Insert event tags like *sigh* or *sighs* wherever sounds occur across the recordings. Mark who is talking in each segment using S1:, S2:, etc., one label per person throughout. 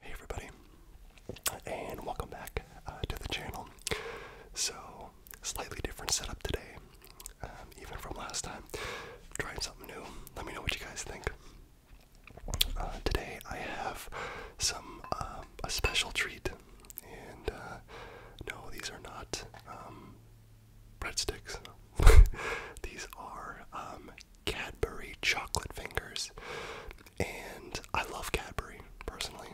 S1: Hey everybody, and welcome back uh, to the channel. So, slightly different setup today, um, even from last time. Trying something new. Let me know what you guys think. Uh, today I have some um, a special treat, and uh, no, these are not um, breadsticks. *laughs* these are Cadbury chocolate fingers and I love Cadbury personally.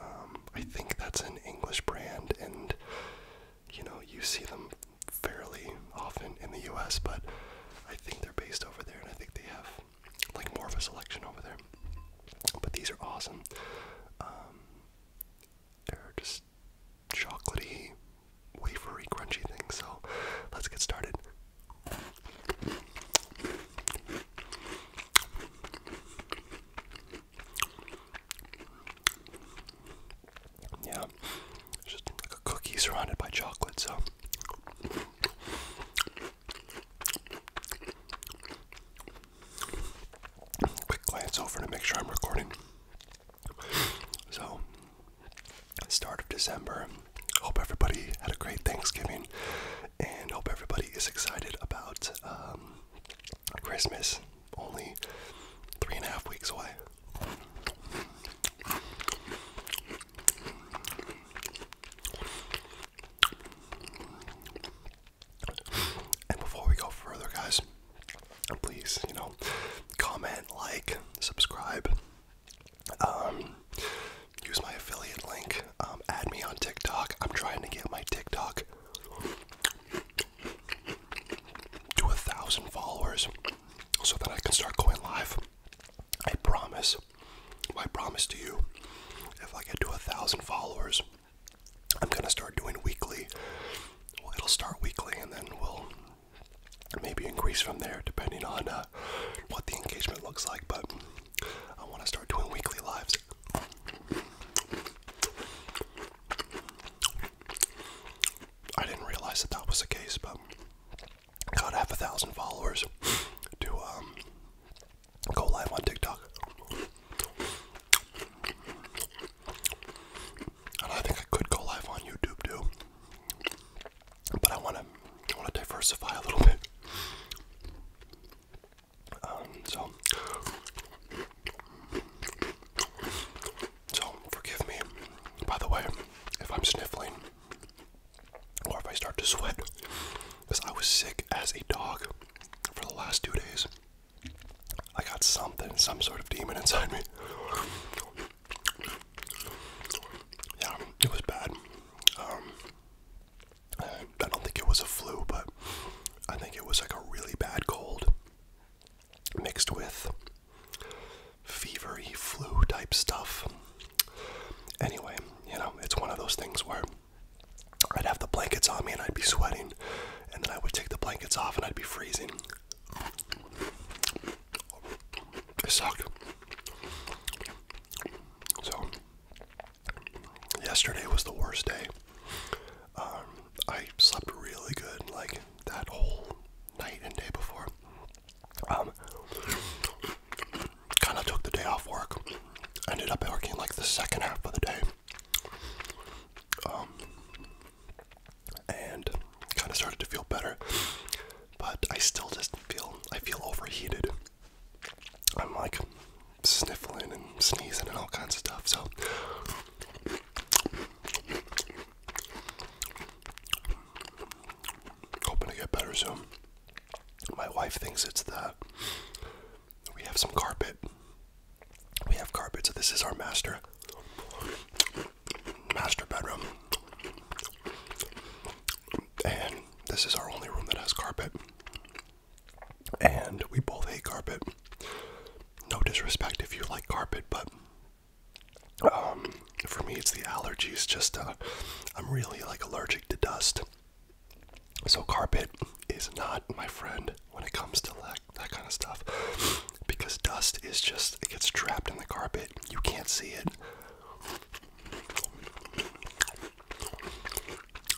S1: Um, I think that's an English brand, and you know you see them fairly often in the U.S., but I think they're based over there, and I think they have like more of a selection over there. But these are awesome. Um, they're just chocolatey, wafery, crunchy things. So let's get started. Yeah, just like a cookie surrounded by chocolate, so. Quick glance over to make sure I'm recording. So, start of December. Hope everybody had a great Thanksgiving and hope everybody is excited about um, Christmas. Only three and a half weeks away. And before we go further, guys, please, you know, comment, like, subscribe, um, use my affiliate link. Um, add me on TikTok. I'm trying to get my TikTok to a thousand followers so that I can start going live. I promise. I promise to you, if I get to a thousand followers, I'm gonna start doing weekly. Well, it'll start weekly, and then we'll maybe increase from there, depending on. Uh, what the engagement looks like, but I want to start doing weekly lives. I didn't realize that that was the case, but got half a thousand followers to um, go live on TikTok. And I think I could go live on YouTube too but I want to want to diversify a little bit. Um, so, so forgive me. By the way, if I'm sniffling or if I start to sweat, because I was sick as a dog for the last two days. I got something, some sort of demon inside me yeah, it was bad. Um, I don't think it was a flu, but I think it was like a really bad cold mixed with fevery flu type stuff. Anyway, you know, it's one of those things where I'd have the blankets on me and I'd be sweating, and then I would take the blankets off and I'd be freezing. It sucked. So, yesterday was the worst day. Um, I slept really good, like that whole night and day before. Um, kind of took the day off work. Ended up working like the second half of the day. Um, and kind of started to feel better, but I still just feel I feel overheated. I'm like sniffling and sneezing and all kinds of stuff. So hoping to get better soon. My wife thinks it's the we have some carpet. We have carpet, so this is our master master bedroom and this is our only room that has carpet. And we both hate carpet. No disrespect if you like carpet, but um, for me, it's the allergies. Just uh, I'm really like allergic to dust. So carpet is not my friend when it comes to that kind of stuff, because dust is just it gets trapped in the carpet. You can't see it.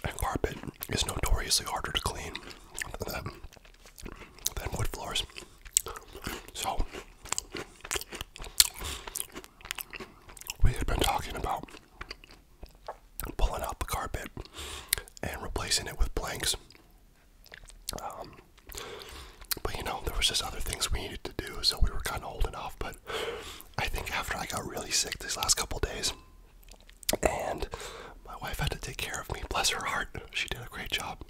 S1: And carpet is notoriously harder to clean than, than wood floors. So, we had been talking about pulling out the carpet and replacing it with planks. Um, but you know, there was just other things we needed to do, so we were kind of holding off. But I think after I got really sick these last couple days, and my wife had to take care of me, bless her heart. She did a great job.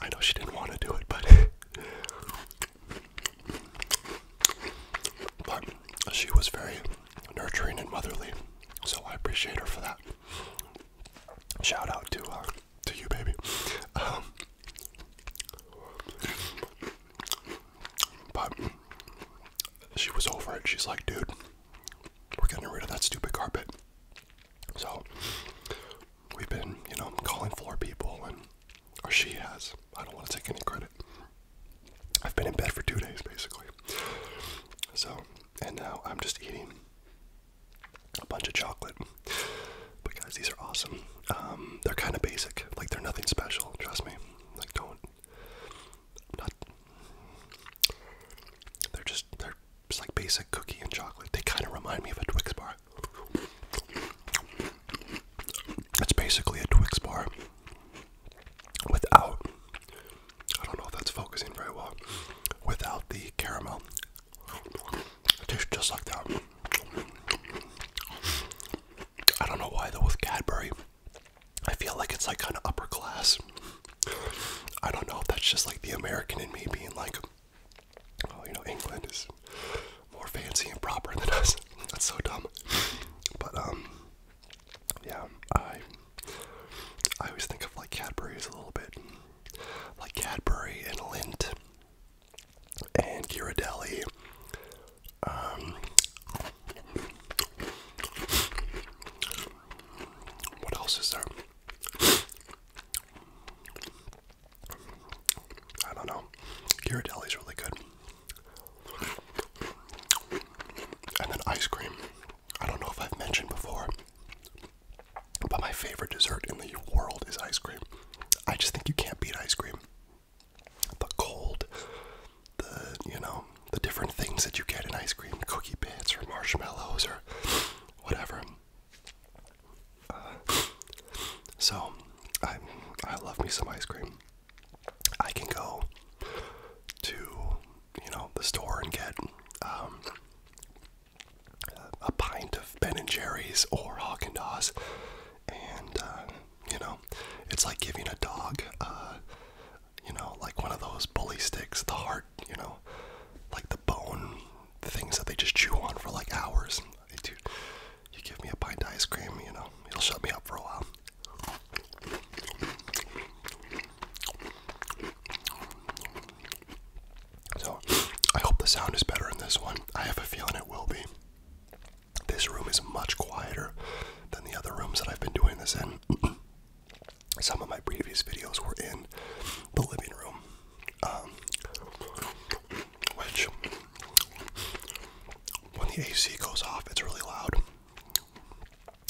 S1: I know she didn't want to do it, *laughs* but she was very nurturing and motherly, so I appreciate her for that. Shout out to uh, to you, baby. Um, but she was over it. She's like, dude, we're getting rid of that stupid carpet. So we've been, you know, calling floor people, and or she has. I don't want to take any credit. I've been in bed for two days, basically. So, and now I'm just eating a bunch of chocolate but guys, these are awesome. Um, they're kind of basic. Like they're nothing special. Trust me. Like don't. Not. They're just they're just like basic cookie and chocolate. They kind of remind me of a Twix bar. It's basically a Twix bar without. I don't know if that's focusing very well. Without the caramel. It tastes just like that. I don't know why though with Cadbury. I feel like it's like kind of upper class. I don't know if that's just like the American in me being like, oh, you know, England is more fancy and proper than us. *laughs* That's so dumb. But um, yeah, I I always think of like Cadbury as a little bit like Cadbury and Lindt and Ghirardelli. Um, what else is there? I don't know. Ghirardelli's really good. And then ice cream. I don't know if I've mentioned before, but my favorite dessert in the world is ice cream. I just think you can't beat ice cream the cold, the you know, the different things that you get in ice cream, cookie bits or marshmallows or whatever. Uh, so I I love me some ice cream. I can go to you know the store and get um, a pint of Ben and Jerry's or Haagen Dazs, and uh, you know, it's like giving a dog, uh, you know, like one of those bully sticks, the heart, you know, like the bone things that they just chew on for like hours. Hey, dude, you give me a pint ice cream, you know, it'll shut me up for a while. So, I hope the sound is better in this one. I have a feeling it will be. This room is much quieter than the other rooms that I've been doing this in. *clears throat* Some of my previous videos were in the living room, um, which, when the AC goes off, it's really loud.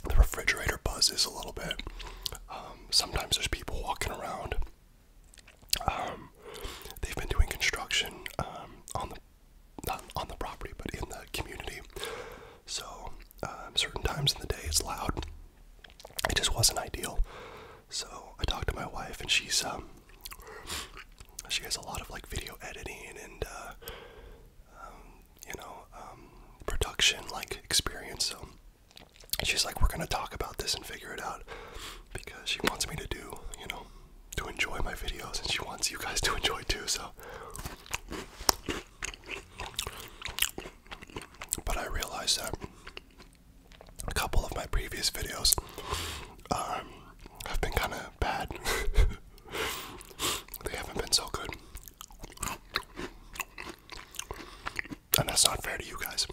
S1: The refrigerator buzzes a little bit. Um, sometimes there's people walking around. Um, they've been doing construction on the not on the property, but in the community. So, um, certain times in the day, it's loud. It just wasn't ideal. So I talked to my wife, and she's um, she has a lot of like video editing and uh, um, you know production like experience. So she's like, we're gonna talk about this and figure it out because she wants me to do you know to enjoy my videos, and she wants you guys to enjoy too. So, but I realized that a couple of my previous videos um, have been kind of bad. *laughs* they haven't been so good, and that's not fair to you guys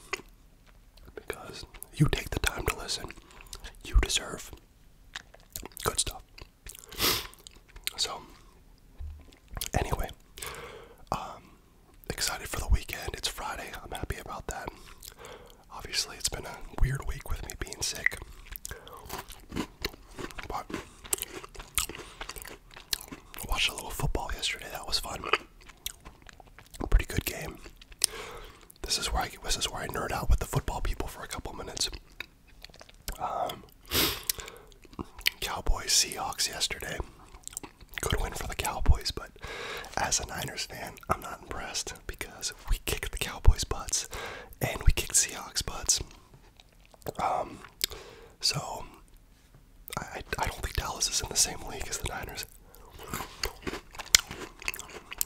S1: because you take the time to listen. You deserve Good stuff. So, anyway, um, excited for the weekend. It's Friday. I'm happy about that. Obviously, it's been a weird week with me being sick. But watched a little football yesterday. That was fun. Pretty good game. This is where I this is where I nerd out with the football people for a couple minutes. Um, Cowboys Seahawks yesterday. Good win for the Cowboys, but as a Niners fan, I'm not impressed because we kicked the Cowboys butts and we kicked Seahawks butts. Um, so I, I don't think Dallas is in the same league as the Niners.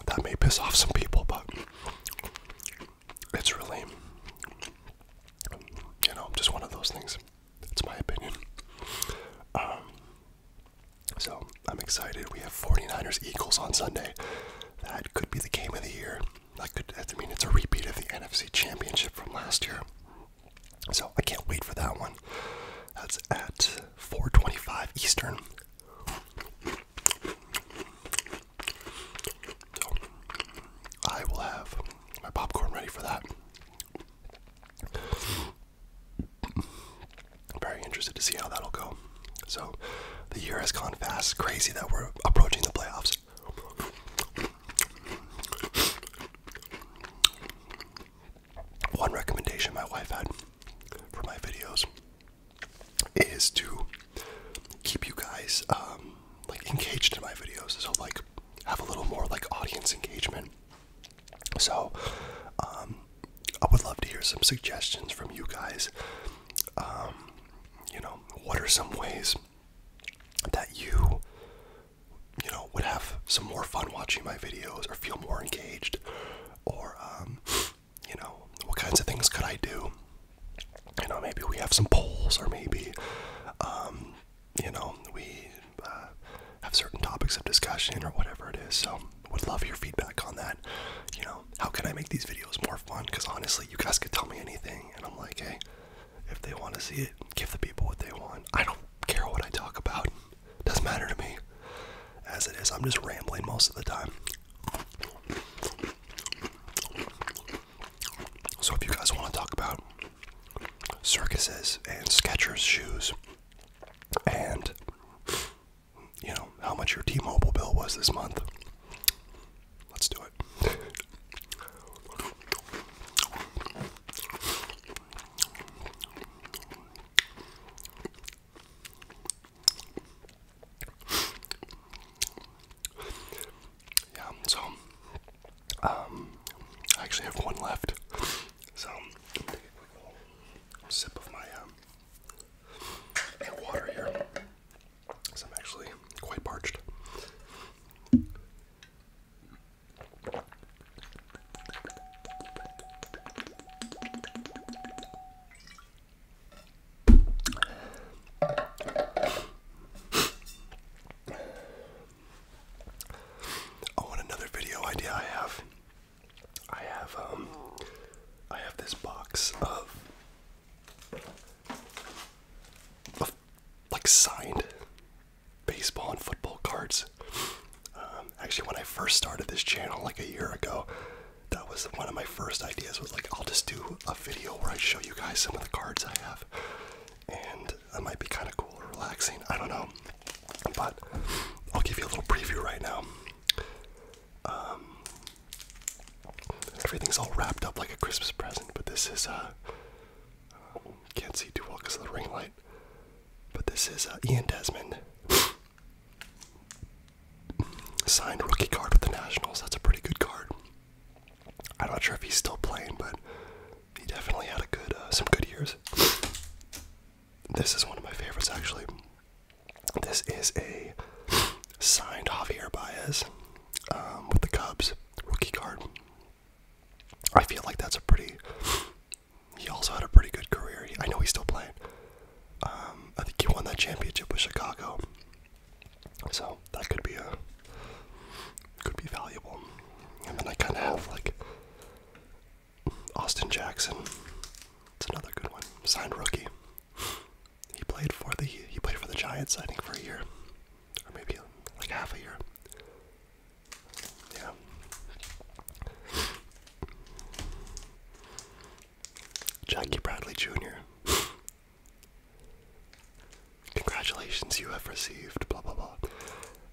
S1: That may piss off some people, but it's really, you know, just one of those things. That's my opinion. Um, so I'm excited. We have 49ers Eagles on Sunday. That could be the game of the year. That could, I mean, it's a repeat of the NFC Championship from last year. So I can't wait for that one. That's at 4:25 Eastern. I will have my popcorn ready for that. I'm very interested to see how that'll go. So the year has gone fast. Crazy that we're approaching the playoffs. One recommendation my wife had for my videos is to keep you guys um, like engaged in my videos. So like have a little more like audience engagement. So um, I would love to hear some suggestions from you guys. Um, you know, what are some ways that you you know would have some more fun watching my videos or feel more engaged or you know, what kinds of things could I do? You know, maybe we have some polls, or maybe, um, you know, we uh, have certain topics of discussion or whatever it is. So, would love your feedback on that. You know, how can I make these videos more fun? Because honestly, you guys could tell me anything, and I'm like, hey, if they want to see it, give the people what they want. I don't care what I talk about, doesn't matter to me. As it is, I'm just rambling most of the time. So if you guys want to talk about circuses and Skechers shoes and you know how much your T-Mobile bill was this month, let's do it. Yeah, so um, I actually have one left, so sip of my um, water here, because I'm actually quite parched. Oh, and another video idea I have. I have um, I have this box of, of like signed baseball and football cards. Um, actually, when I first started this channel like a year ago, that was one of my first ideas was like I'll just do a video where I show you guys some of the cards I have and that might be kind of cool or relaxing I don't know but I'll give you a little preview right now um, everything's all wrapped up like a Christmas present but this is uh, can't see too well because of the ring light but this is uh, Ian Desmond Signed rookie card with the Nationals. That's a pretty good card. I'm not sure if he's still playing, but he definitely had a good, uh, some good years. This is one of my favorites, actually. This is a signed Javier Baez um, with the Cubs rookie card. I feel like that's a pretty. He also had a pretty good career. I know he's still playing. Um, I think he won that championship with Chicago. So that could be a could be valuable. And then I kind of have like Austin Jackson. It's another good one. Signed rookie. He played for the he played for the Giants I think for a year, or maybe like half a year. Yeah. Jackie Bradley Jr. *laughs* Congratulations, you have received blah blah blah.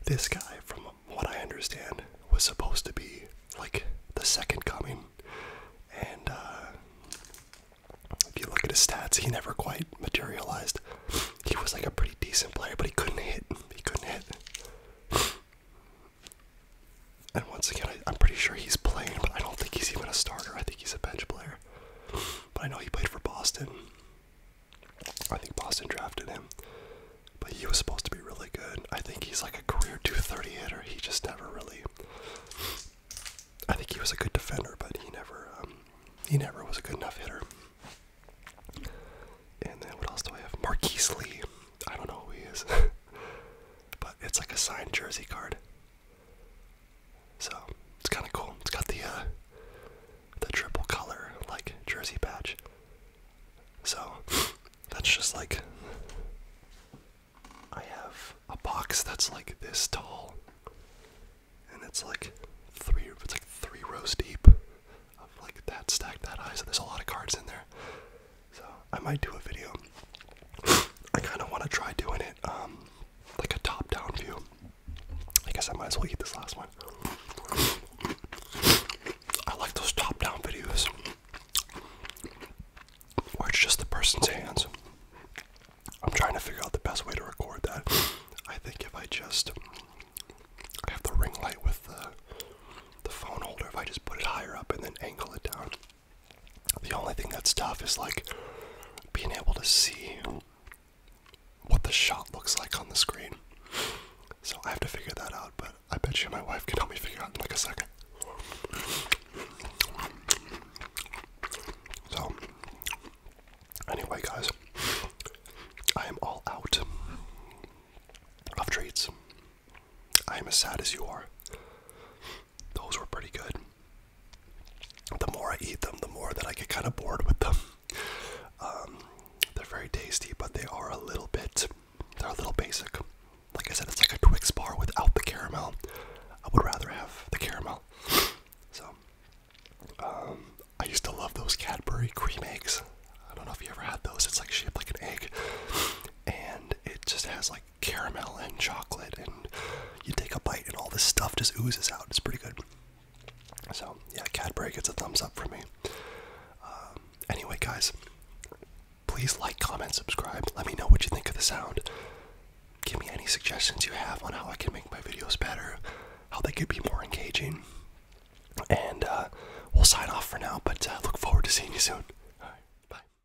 S1: This guy, from what I understand, was supposed to be like the second coming, and uh, if you look at his stats, he never quite materialized. He was like a pretty decent player, but he couldn't hit. He couldn't hit. And once again, I, am pretty sure he's playing, but I don't think he's even a starter. I think he's a bench player. But I know he played for Boston. I think Boston drafted him. But he was supposed to be really good. I think he's like a career 230 hitter. He just never really. I think he was a good defender, but he never um, he never was a good enough hitter. And then what else do I have? Marquis Lee. I don't know who he is. *laughs* but it's like a signed jersey card. So it's kind of cool. It's got the uh, the triple color like jersey patch. So *laughs* that's just like I have a box that's like this tall, and it's like three. It's like three rows deep of like that stacked that high. So there's a lot of cards in there. So I might do a video. *sighs* I kind of want to try doing it um, like a top-down view. I guess I might as well eat this last one. I like those top-down videos where it's just the person's hands. I'm trying to figure out the best way to record that. I think if I just I have the ring light with the phone holder, if I just put it higher up and then angle it down, the only thing that's tough is like being able to see what the shot looks like on the screen. So I have to figure that out, but I bet you my wife can help me figure out in like a second. So, anyway, guys, I am all out of treats. I am as sad as you are. Those were pretty good. The more I eat them, the more that I get kind of bored with them. *laughs* Um, they're very tasty, but they are a little bit, they're a little basic. Like I said, it's like a Twix bar without the caramel. I would rather have the caramel. *laughs* So, um, I used to love those Cadbury cream eggs. I don't know if you ever had those. It's like shaped like an egg, *laughs* and it just has like caramel and chocolate, and you take a bite, and all this stuff just oozes out. It's pretty good. So, yeah, Cadbury gets a thumbs up for me. Um, anyway, guys, please like, comment, subscribe. Let me know what you think of the sound. Give me any suggestions you have on how I can make my videos better, how they could be more engaging. And uh, we'll sign off for now, but uh, look forward to seeing you soon. bye.